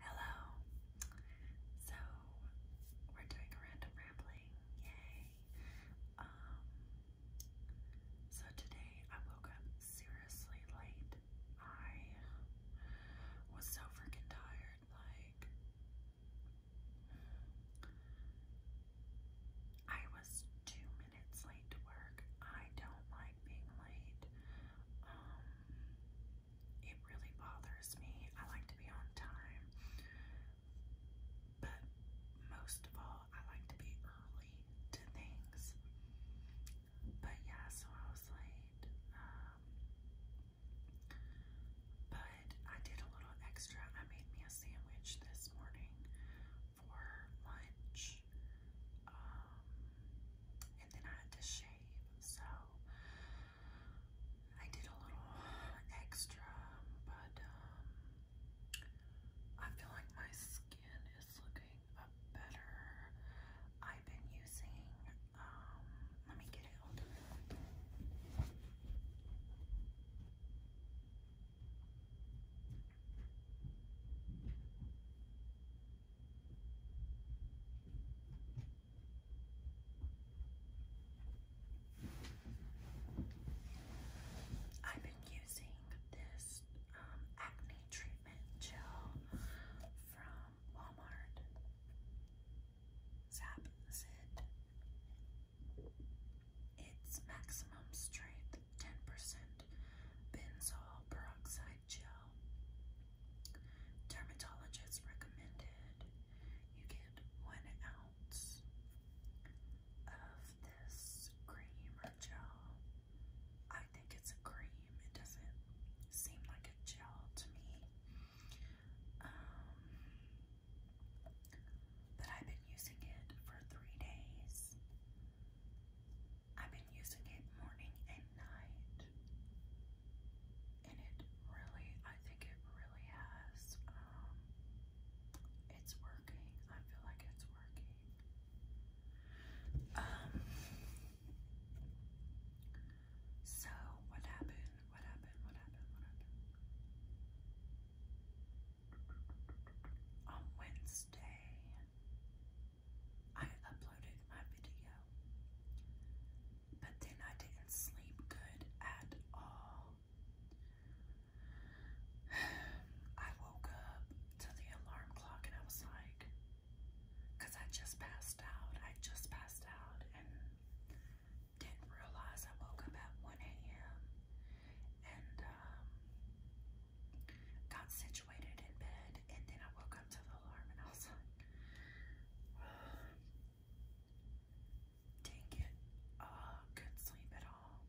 Hello. So we're doing a random rambling. Yay. Um, so today I woke up seriously late. I was so freaking tired, like I was two minutes late to work. I don't like being late. Um, it really bothers me. I like to be on time, but most of all, I like to be early to things. But yeah, so I was late. Um, but I did a little extra. I made me a sandwich this morning for lunch. Um, and then I had to shave. So I did a little extra, but um, I feel like my skin is looking better. I've been using, um, let me get it on. I've been using this um, acne treatment gel from Walmart. Zap Zid. It's maximum strength, 10% benzol peroxide gel. Dermatologist recommended you get one ounce of this cream or gel. I think it's a cream. It doesn't seem like a gel to me. Um, but I've been using it for three days. I've been using it morning and night. And it really, I think it really has. Um, it's working. I feel like it's working. Um, so what happened? What happened? What happened? What happened? On Wednesday, I uploaded my video. But then I didn't sleep good at all. I woke up to the alarm clock and I was like, because I just passed out. I just passed out and didn't realize I woke up at 1 a.m. and um, got situated in bed and then I woke up to the alarm and I was like, dang it, uh, could sleep at all.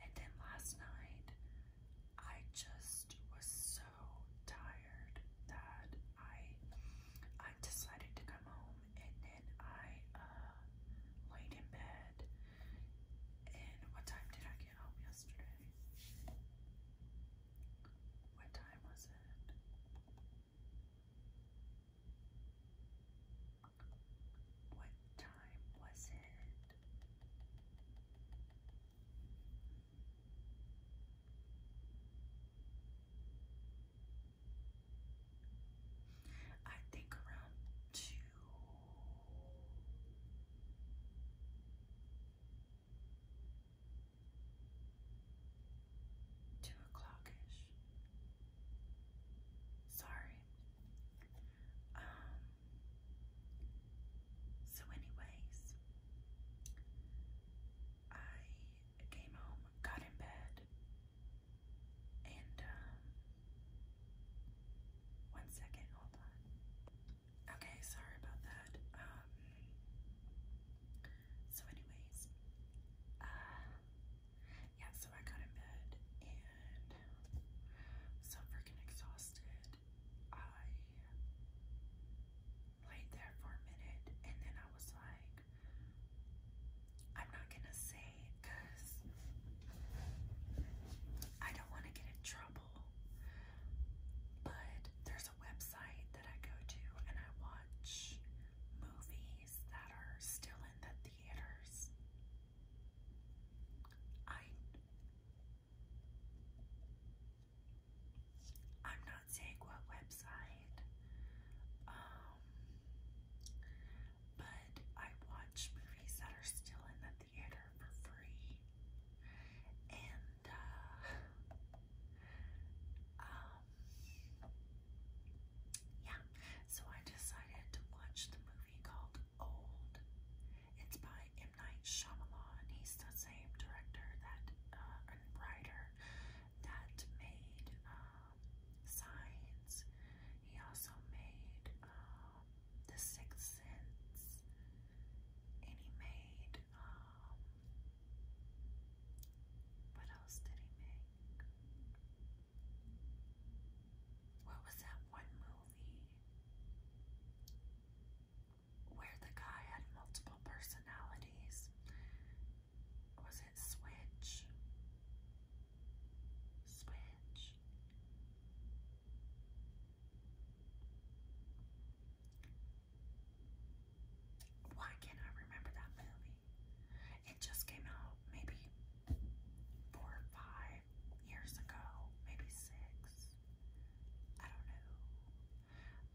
And then last night, I just was so tired that I I decided to come home and then I uh, laid in bed and what time did I get home yesterday? What time was it? What time was it? I think around two. Two o'clockish. Sorry. Um. So, anyways, I came home, got in bed, and um. One second, hold on. Okay, sorry about that. Um. So anyways, uh, yeah, so I got in bed and so freaking exhausted. I laid there for a minute and then I was like, I'm not gonna say I don't want to get in trouble. But there's website that I go to and I watch movies that are still in the theaters. I I'm not saying what website, um, but I watch movies that are still in the theater for free, and um, yeah, so I decided to watch the movie called Old. It's by M. Night Shyamalan. He's the same director that uh, writer that made um, Signs. He also made um, The Sixth Sense, and he made what else did he make? What was that one movie where the guy had multiple personalities? Was it Switch? Switch. Why can't I remember that movie? It just came out maybe four or five years ago, maybe six. I don't know.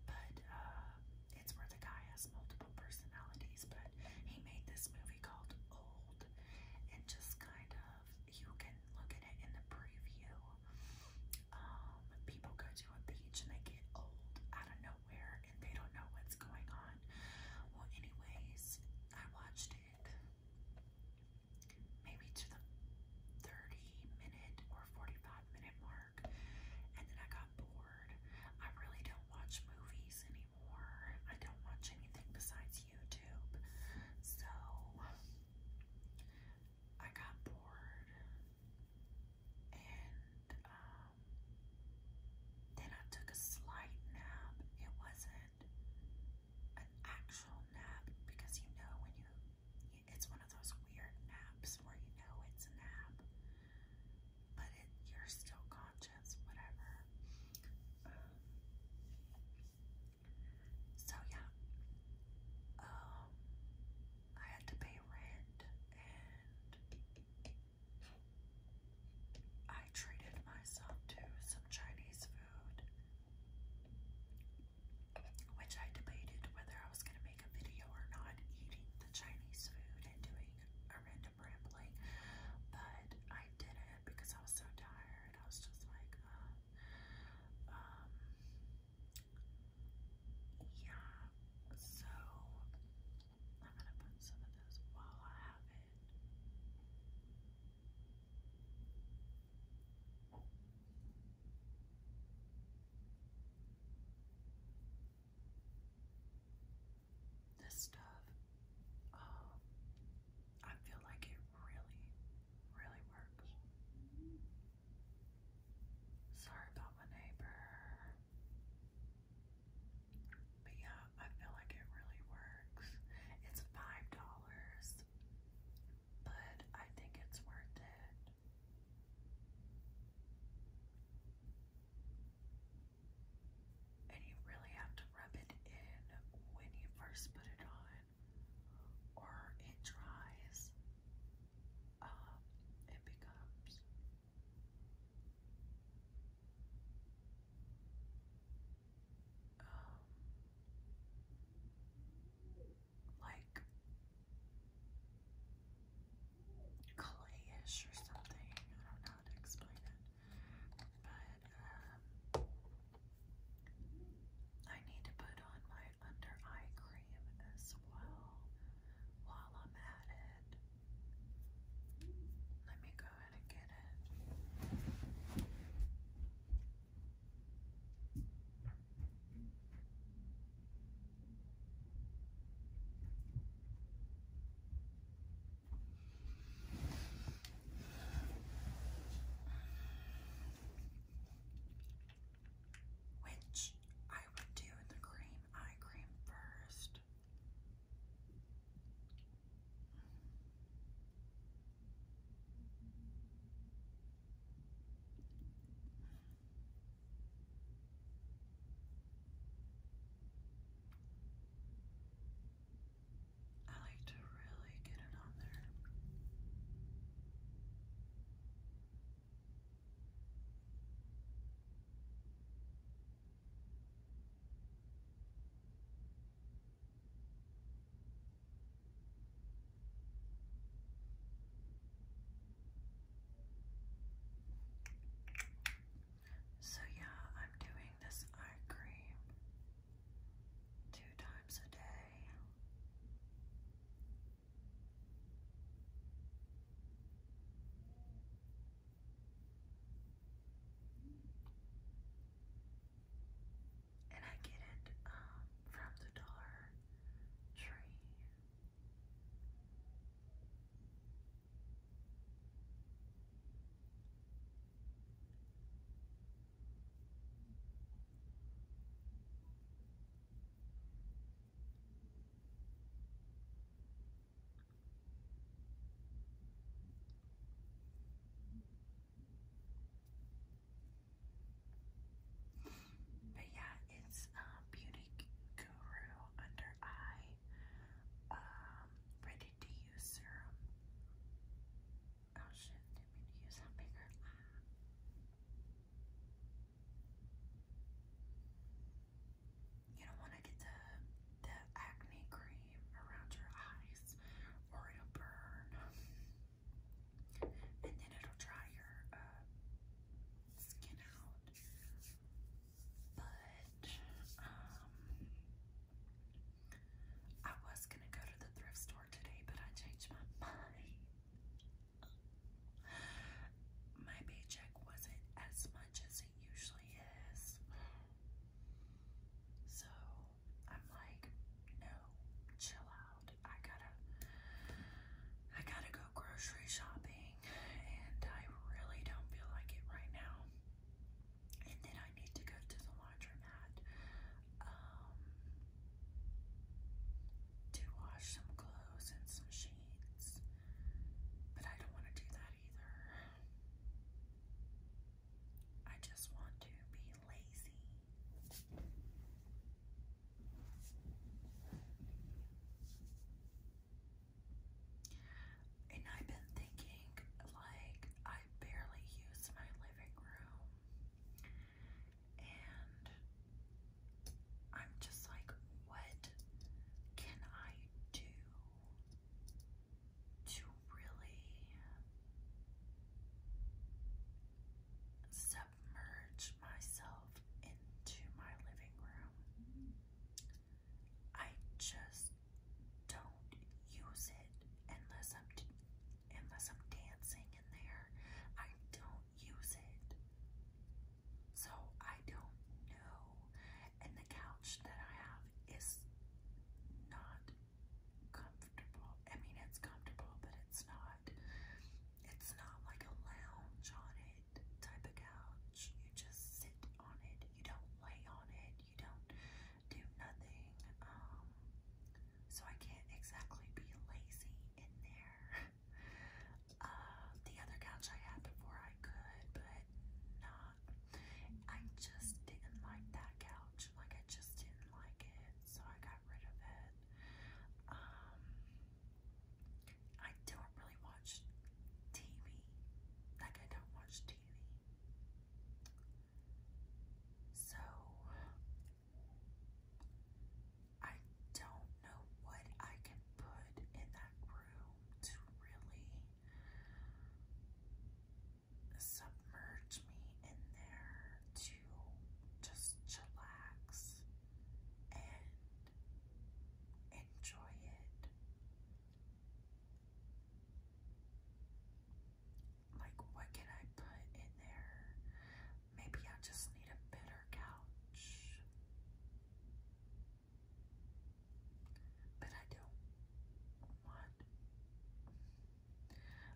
But uh, it's where the guy has multiple personalities, but he made this movie called Old, and just kind of, you can look at it in the preview. Um, people go to a beach and they get old. I don't know nowhere and they don't know what's going on. Well, anyways, I watched it maybe to the 30 minute or 45 minute mark and then I got bored. I really don't watch movies anymore. I don't watch anything besides YouTube. So I got bored and um, then I took a slight nap. It wasn't an actual nap because you know when you, it's one of those weird naps where you know it's a nap, but you're still conscious, whatever. Um, so yeah, um, I had to pay rent and I treated myself to some Chinese food, which I debated whether I was going to make a video or not eating the Chinese food and doing a random rambling, but I didn't because I was so tired. I was just like, uh, um, yeah, so I'm gonna put some of this while I have it. This stuff, um, I feel like it really, really works. Sorry about my neighbor. But yeah, I feel like it really works. It's five dollars, but I think it's worth it. And you really have to rub it in when you first put it on, or it dries. Um, it becomes um, like clayish or something. I don't know how to explain it, but um, I need to put on my under eye cream as well while I'm at it. Let me go ahead and get it. Which I would do in the cream eye cream first. I like to really get it on there. So, yeah, I'm doing this eye cream two times a day. And I get it um, from the Dollar Tree. But yeah, it's um, Beauty Guru Under Eye um, Ready to Use Serum. Oh shit, didn't use that bigger you don't want to get the, the acne cream around your eyes or it'll burn. And then it'll dry your uh, skin out. But, um, I was going to go to the thrift store today, but I changed my mind. My paycheck wasn't as much as usually is. So I'm like, no, chill out. I gotta I gotta go grocery shopping and I really don't feel like it right now. And then I need to go to the laundromat um, to wash some clothes and some sheets but I don't want to do that either. I just want to be lazy. And I've been thinking, like, I barely use my living room. And I'm just like, what can I do to really submerge myself into my living room? I just don't use it unless I'm unless I'm dancing in there. I don't use it so I don't know. And the couch that I have is not comfortable. I mean, it's comfortable, but it's not. It's not like a lounge on it type of couch. You just sit on it. You don't lay on it. You don't do nothing. Um, so I can't exactly be lazy in there. Uh, the other couch I had before I could, but not. I just didn't like that couch. Like, I just didn't like it, so I got rid of it. Um, I don't really watch TV. Like, I don't watch TV. So, I don't know what I can put in that room to really submerge me in there to just relax and enjoy it. Like, what can I put in there? Maybe I just need a better couch. But I don't want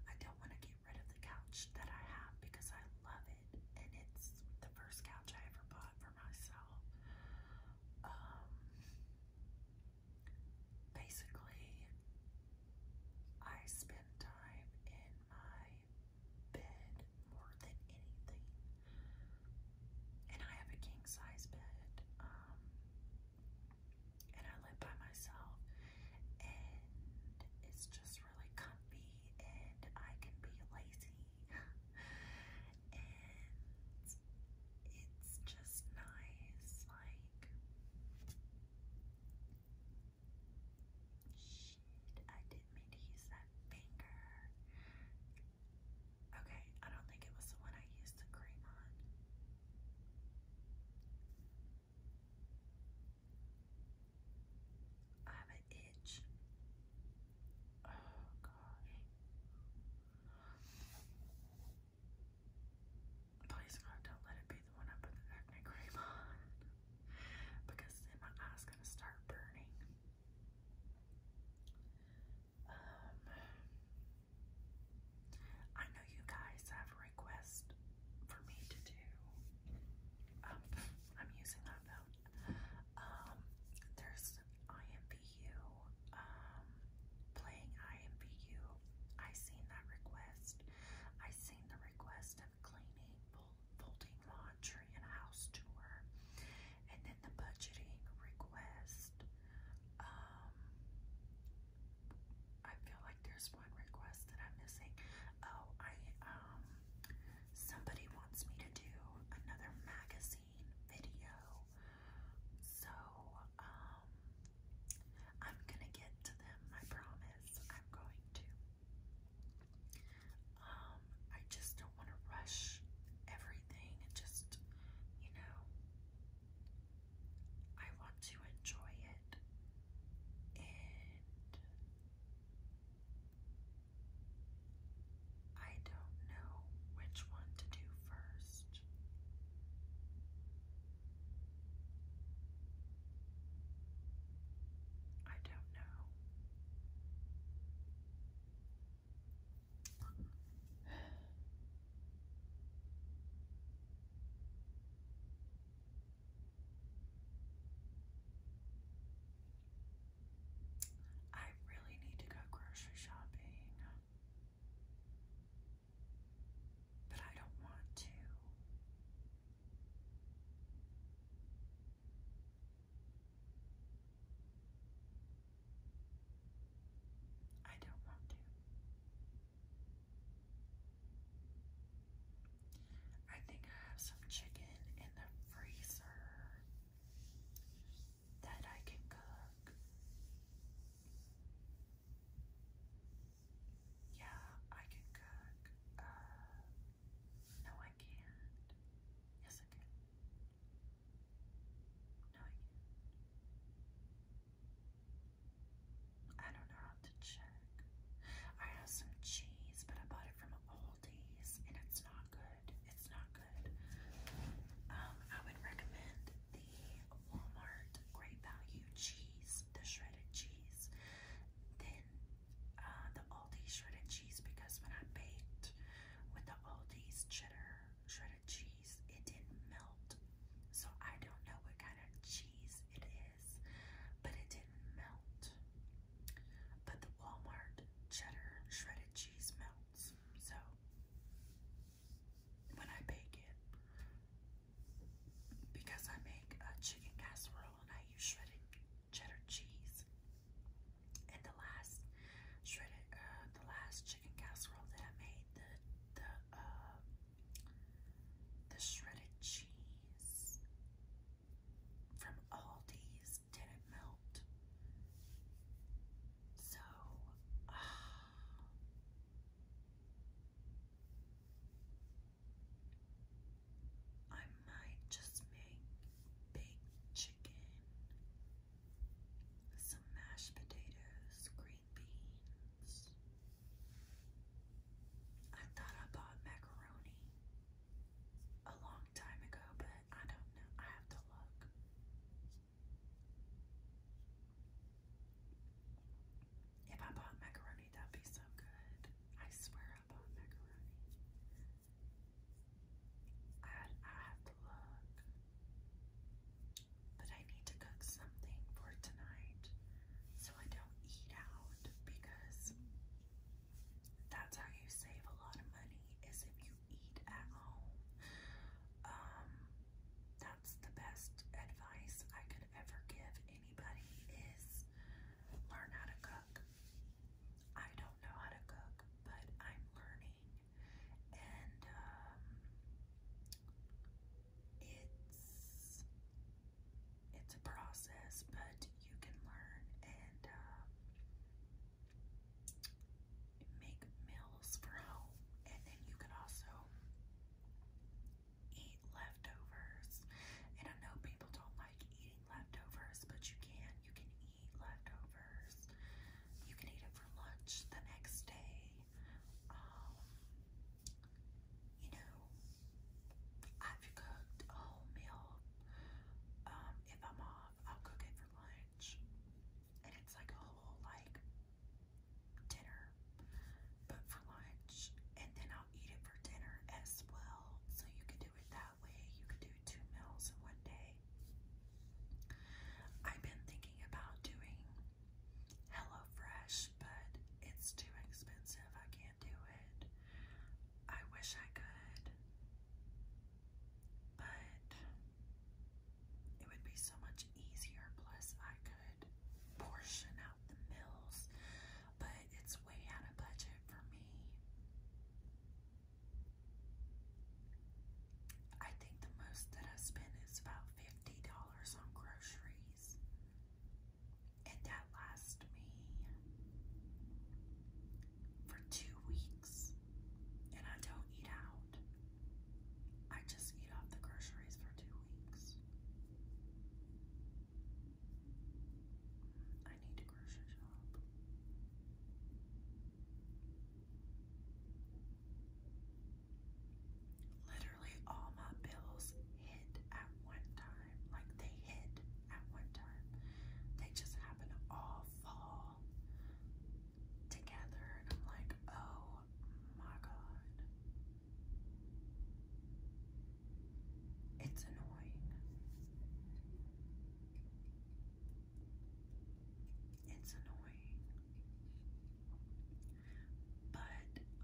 I don't want to get rid of the couch that I have because I love it and it's the first couch I ever bought for myself. Um basically I spend time in my bed than anything. And I have a king size bed. Um, and I live by myself. And it's just really comfy. And I can be lazy. and it's just nice. Like, shit, I didn't mean to use that finger. Okay, I don't think it was the one I used the cream on. I have an itch. Oh gosh. Please God, don't let it be the one I put the acne cream on. because then my eye's gonna start burning. Um, I know you guys have requests for me to do. Um, I'm using my phone. Um, there's IMVU, um, playing IMVU. I seen that request. I seen the request of cleaning, folding laundry, and house tour and then the budgeting request. Um, I feel like there's one request that I'm missing. Oh, I um, somebody wants me to do another magazine video, so um, I'm gonna get to them. I promise. I'm going to. Um, I just don't want to rush everything and just, you know, I want to enjoy it and I don't know which one to do first. I don't know. I really need to go grocery shopping, but I don't want to. I don't want to. I think I have some chicken in the freezer that I can cook. Yeah, I can cook. Uh, no, I can't. Yes, I can. I don't know how to check. I have some cheese, but I bought it from Aldi's, and it's not good. It's not good. Um, I would recommend the Walmart Great Value cheese, the shredded cheese, then uh, the Aldi shredded cheese because when I baked with the Aldi's cheddar shredded of cheese. It didn't melt. So I don't know what kind of cheese it is, but it didn't melt. But the Walmart cheddar shredded cheese melts. So when I bake it, because I make a chicken casserole and I use shredded cheddar cheese, and the last shredded, uh, the last chicken casserole that I made, the the uh, the shredded cheese from Aldi's didn't melt. So. Ah, I might just make baked chicken some mashed potatoes, green beans. I thought I bought macaroni a long time ago, but I don't know. I have to look. If I bought macaroni, that'd be so good. I swear I bought macaroni. I I have to look, but I need to cook something for tonight so I don't eat out because that's how you save a lot of money is if you eat at home. Um, that's the best advice I could ever give anybody is learn how to cook. I don't know how to cook, but I'm learning and um, it's it's a process, but you can learn and uh, make meals for home, and then you can also eat leftovers. And I know people don't like eating leftovers, but you can. You can eat leftovers. You can eat it for lunch the next day. Um, you know, I've cooked a whole meal. Um, if I'm off, I'll cook it for lunch. And it's like a whole like dinner, but for lunch, and then I'll eat it for dinner as well. So you can do it that way. You can do two meals in one day. I've been thinking about doing HelloFresh, but it's too expensive. I can't do it. I wish I could, but it would be so much easier. Plus, I could portion out the meals, but it's way out of budget for me. I think the most that I spend is about fifty dollars on groceries, and that lasts me for two weeks. And I don't eat out; I just eat off the groceries for two weeks. I need a grocery shop. Literally all my bills hit at one time. Like they hit at one time. They just happen to all fall together. And I'm like, oh my God. It's annoying. It's annoying. But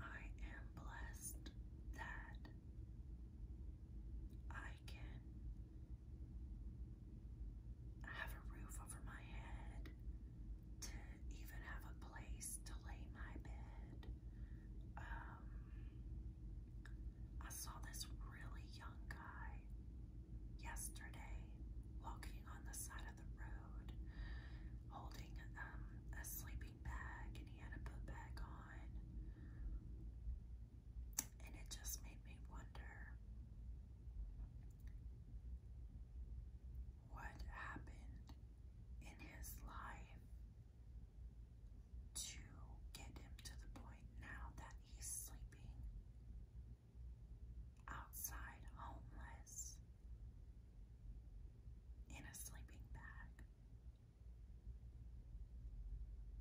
I am blessed that I can have a roof over my head, to even have a place to lay my bed. Um, I saw this really young guy yesterday walking on the side of the road holding um, a sleeping bag and he had a book bag on. And it just made me wonder what happened in his life to get him to the point now that he's sleeping outside homeless in a sleeping bag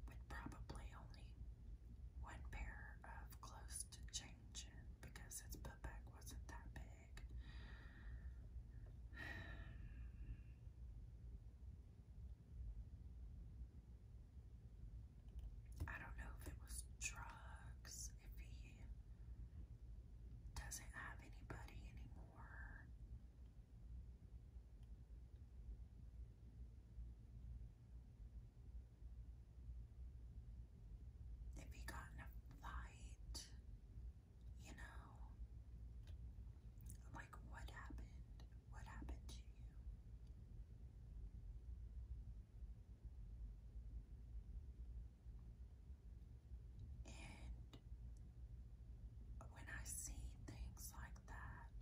with probably only one pair of clothes to change in because its butt bag wasn't that big. I don't know if it was drugs, if he doesn't have anybody anymore. If he got in a fight, you know, like what happened? What happened to you? And when I see things like that,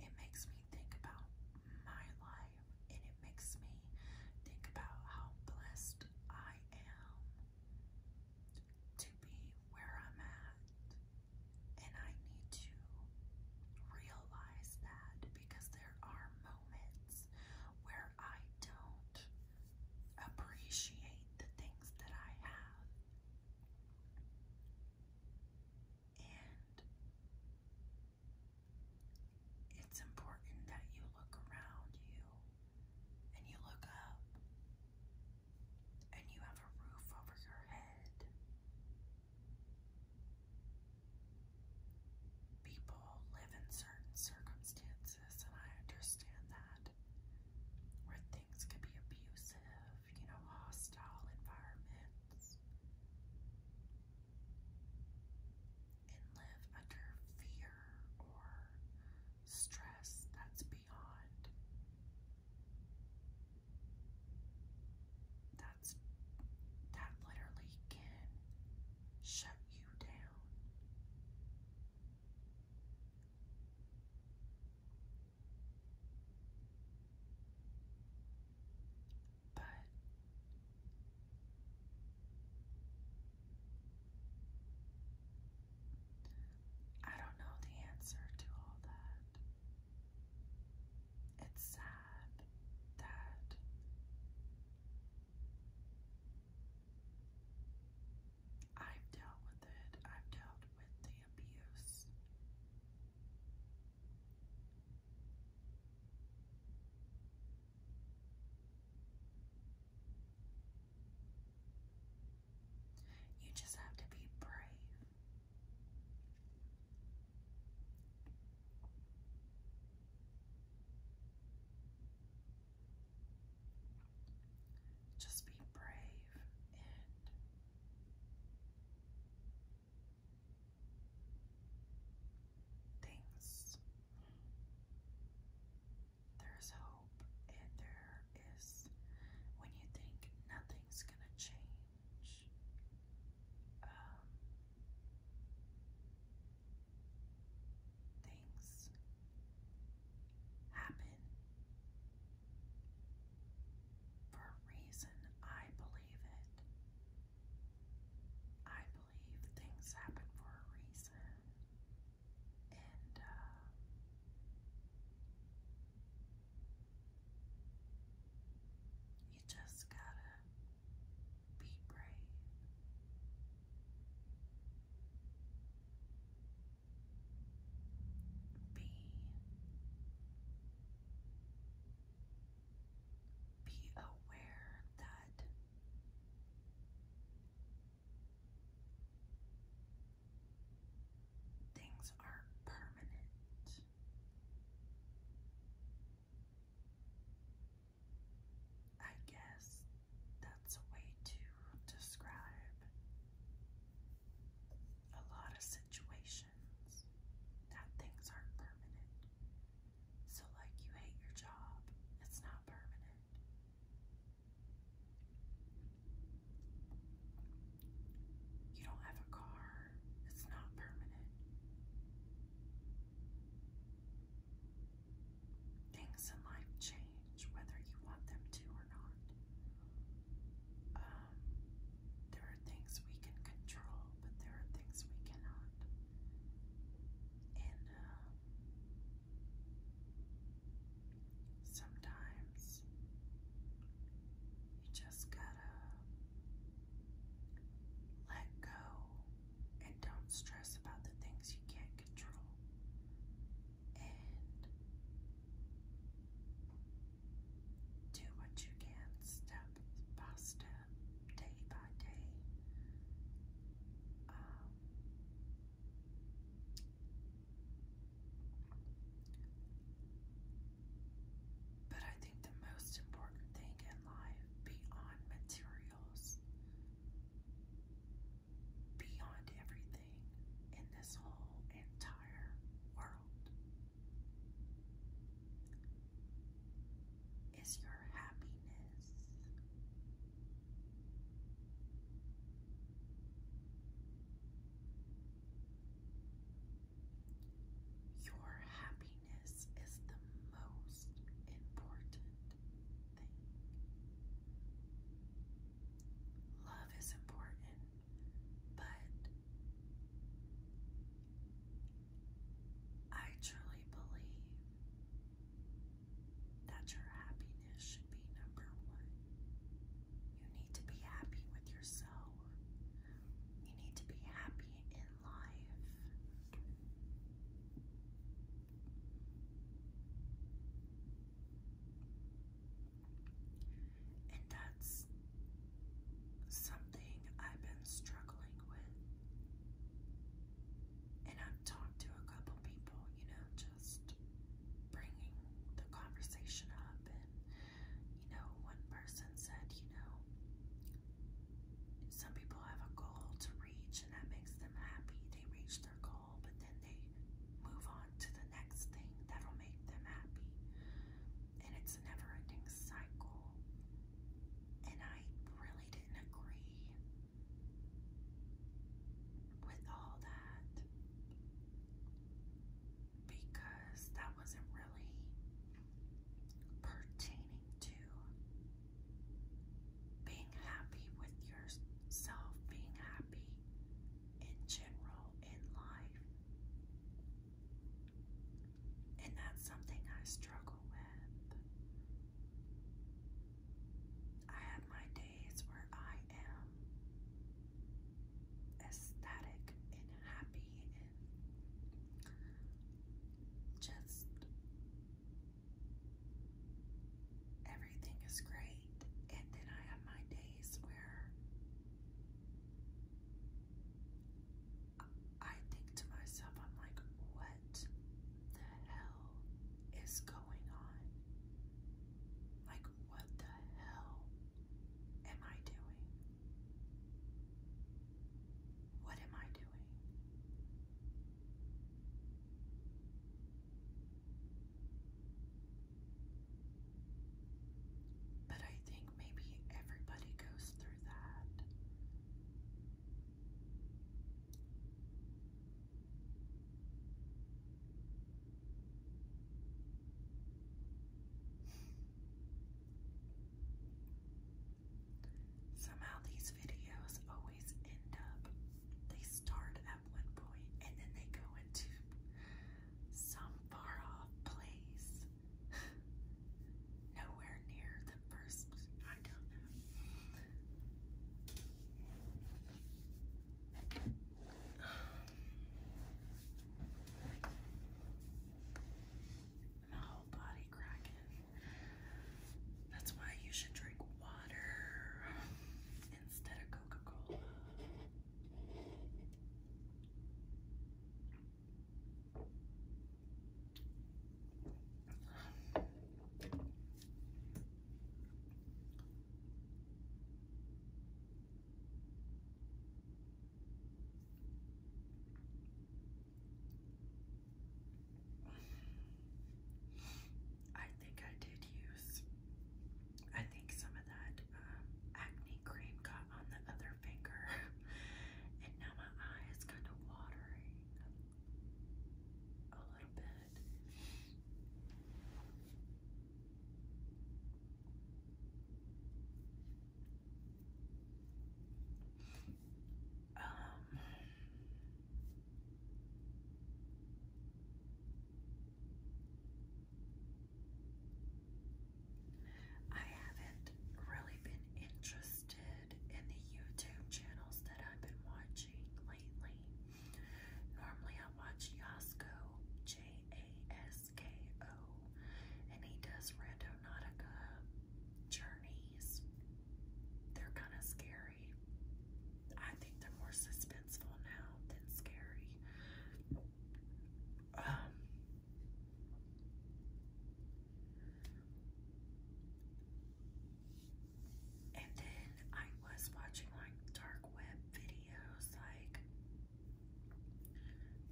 it makes me think about my life and it makes me think about how blessed I am to be where I'm at. And I need to realize that because there are moments where I don't appreciate the things that I have. And it's important that you look around you and you look up and you have a roof over your head people live in certain circumstances, and I understand that, where things can be abusive, you know, hostile environments, and live under fear or stress that's beyond that's that literally can shut you down. But I don't know the answer to all that. It's sad that I've dealt with it, I've dealt with the abuse. You just have to be brave. Just be brave and things. There's hope, and there is when you think nothing's gonna change. Um, things happen for a reason. I believe it. I believe things happen for a reason. And, uh, you just gotta be brave. Be be aware that things are permanent. I guess that's a way to describe a lot of situations that things aren't permanent. So, like, you hate your job, it's not permanent. You don't have a car, it's not permanent. Things in life change whether you want them to or not. Um, there are things we can control, but there are things we cannot. And uh, sometimes you just gotta let go and don't stress about the things you can't control. And do what you can step by step, day by day. Um, but I think the most important thing in life beyond materials, beyond everything in this whole entire world. Is your happiness. Your happiness happiness is the most important thing. Love is important, but I truly believe that your happiness should be number one. You need to be happy with yourself. You need to be happy in in And that's something I've been struggling with. And I've talked to a couple people, you know, just bringing the conversation up. And, you know, one person said, you know, some people have a goal to reach and that makes them happy. They reach their goal, but then they move on to the next thing that'll make them happy. And it's a never ending cycle. And I really didn't agree with all that because that wasn't really pertaining to being happy with yourself, being happy in general in life. And that's something I struggle with. I have my days where I am ecstatic and happy and just everything is great. And then I have my days where I think to myself, I'm like, what the hell is going on? Like, what the hell am I doing? What am I doing? But I think maybe everybody goes through that. Somehow these videos always end up, they start at one point and then they go into some far off place. Nowhere near the first, I my whole body cracking. That's why you should drink water instead of Coca Cola. I think I did use, I think some of that uh, acne cream got on the other finger, and now my eye is kind of watering a little bit. Um, I haven't really been interested in the YouTube channels that I've been watching lately. Normally, I watch Yasko, J A S K O, and he does Nautica journeys. They're kind of scary. I think they're more suspenseful now than scary. Um, and then I was watching like dark web videos, like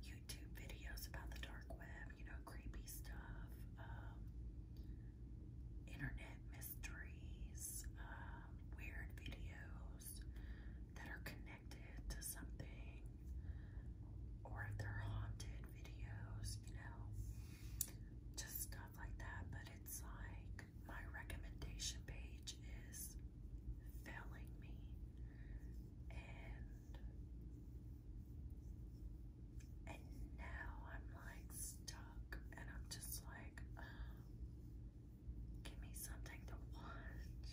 YouTube videos about the dark web, you know, creepy stuff. Um, internet mysteries, um, weird videos that are connected to something, or if they're haunted videos, you know, just stuff like that. But it's like my recommendation page is failing me, and and now I'm like stuck and I'm just like, give me something to watch.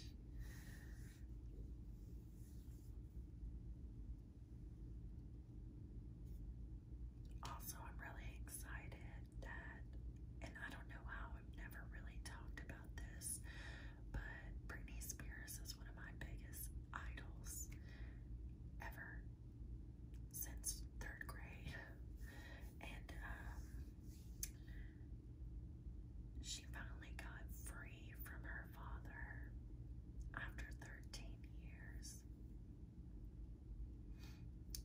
Also, I'm really excited that, and I don't know how, I've never really talked about this, but Britney Spears is one of my biggest idols ever since third grade, and um, she finally got free from her father after 13 years.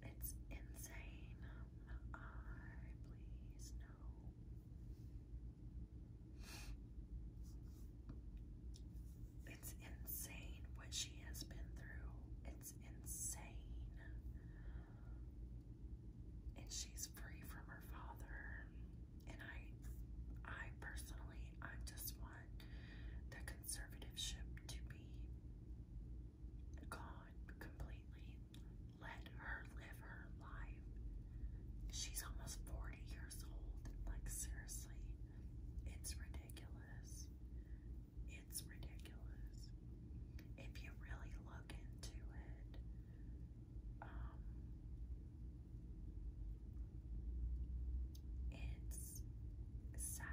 It's insane. I please no. It's insane what she has been through. It's insane. And she's free from her father. And I I personally I just want the conservativeship to be gone completely. Let her live her life. She's almost 40 years old. Like seriously. It's ridiculous. It's ridiculous. If you really look into it, um, it's sad.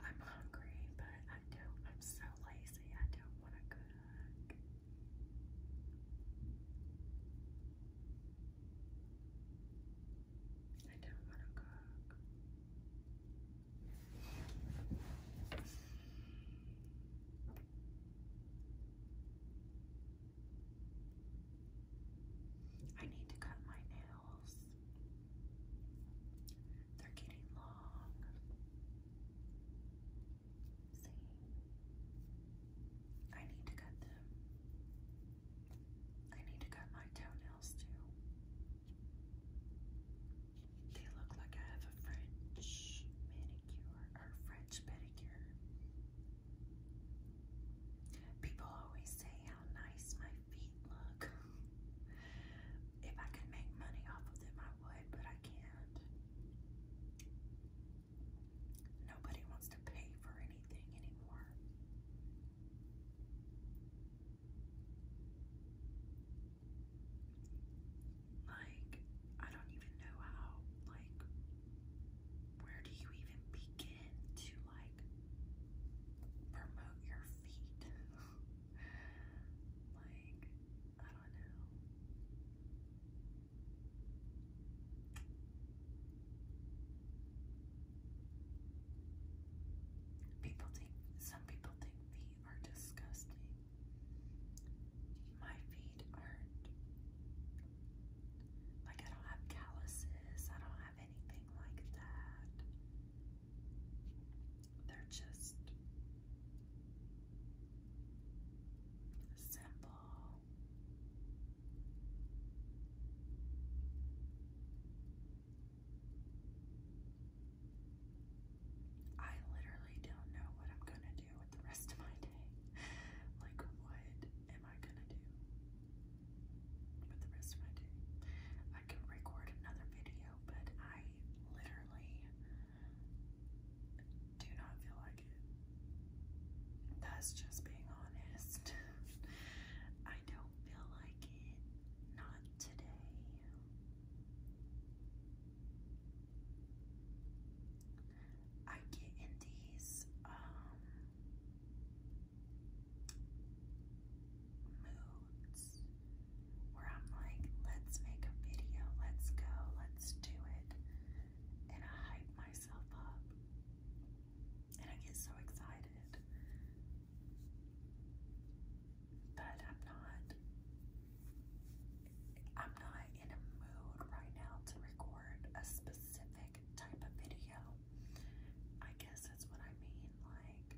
I'm hungry, but I don't. I'm so lazy. I don't want to cook. I don't want to cook. I need to cut my nails. They're getting long. See? I need to cut them. I need to cut my toenails too. They look like I have a French manicure or French pedicure. People always say how nice my feet look. if I could make money off of them, I would, but I can't. Nobody wants to pay for anything anymore. Like, I don't even know how, like, where do you even begin to like promote your feet? like, I don't know. People think some people think feet are disgusting. My feet aren't. Like, I don't have calluses, I don't have anything like that. They're just simple. I literally don't know what I'm gonna do with the rest of my day. like, what am I gonna do? for the rest of my day. I can record another video, but I literally do not feel like it. That's just being honest. I don't feel like it. Not today. I get in these um moods where I'm like, let's make a video, let's go, let's do it. And I hype myself up. And I get so excited. But I'm not I'm not in a mood right now to record a specific type of video. I guess that's what I mean, like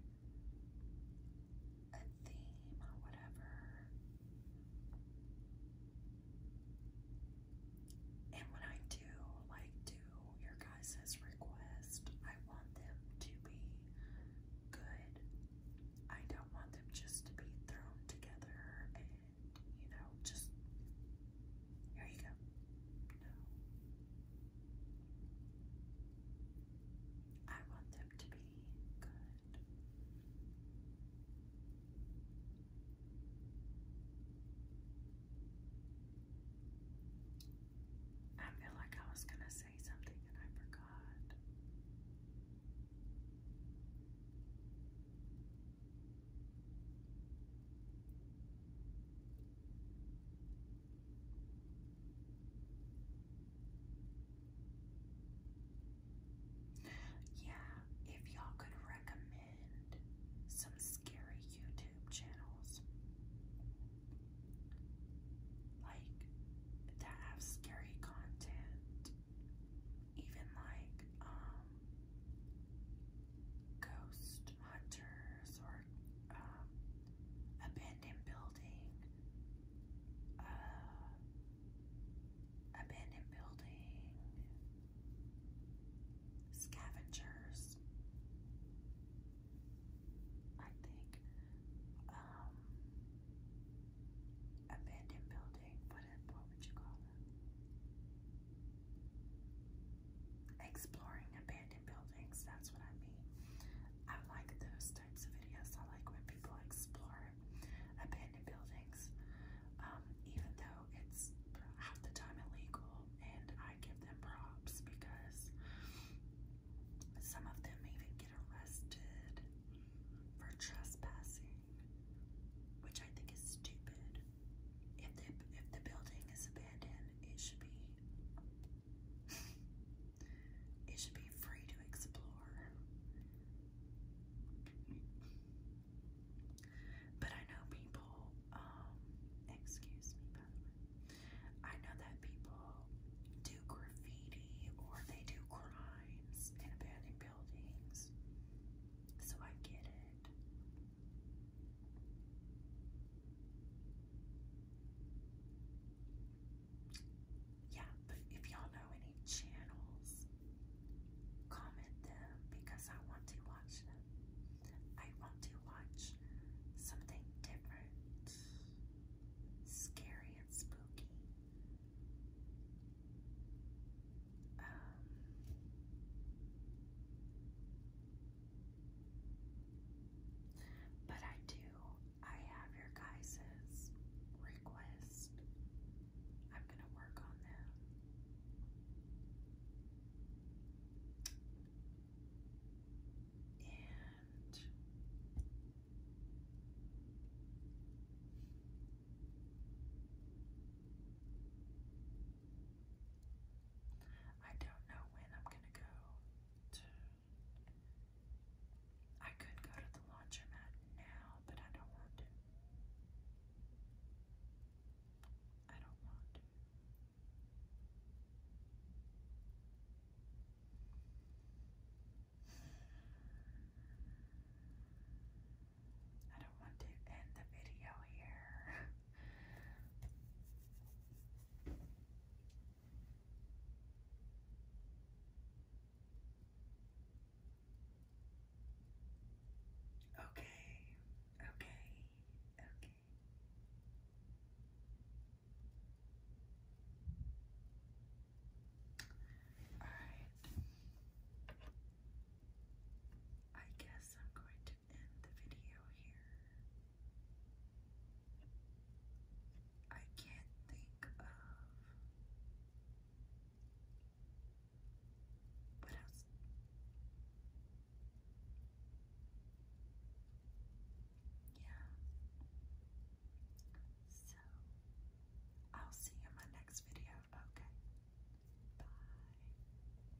a theme or whatever. And when I do like do your guys' request, I want them to be good. I don't want them just to be thrown together you know, just here you go. No. I want them to be good. I feel like I was going to say something and I forgot. Yeah, if y'all could recommend some scary YouTube channels like that have scary content, even like um ghost hunters or um, abandoned building, uh, abandoned building scavengers. I think um, abandoned building. What what would you call them? exploring abandoned buildings. That's what I mean. I like those types of videos. I like when people explore abandoned buildings, um, even though it's half the time illegal. And I give them props because some of them even get arrested for trespassing, which I think is stupid. If the if the building is abandoned, it should be it should be free to explore. But I know people, um, excuse me I know that people do graffiti or they do crimes in abandoned buildings. So I get it. Yeah, but if y'all know any channels, comment them because I want to watch them. I want to watch something different, scary and spooky. Um, but I do, I have your guys' request. I'm going to work on them. And I don't know when I'm gonna go to. I could go to the laundromat now, but I don't want to. I don't want to. I don't want to end the video here. Okay, okay, okay. All right. I guess I'm going to end the video here. I can't think of what else. Yeah. So I'll see you in my next video. Okay. Bye.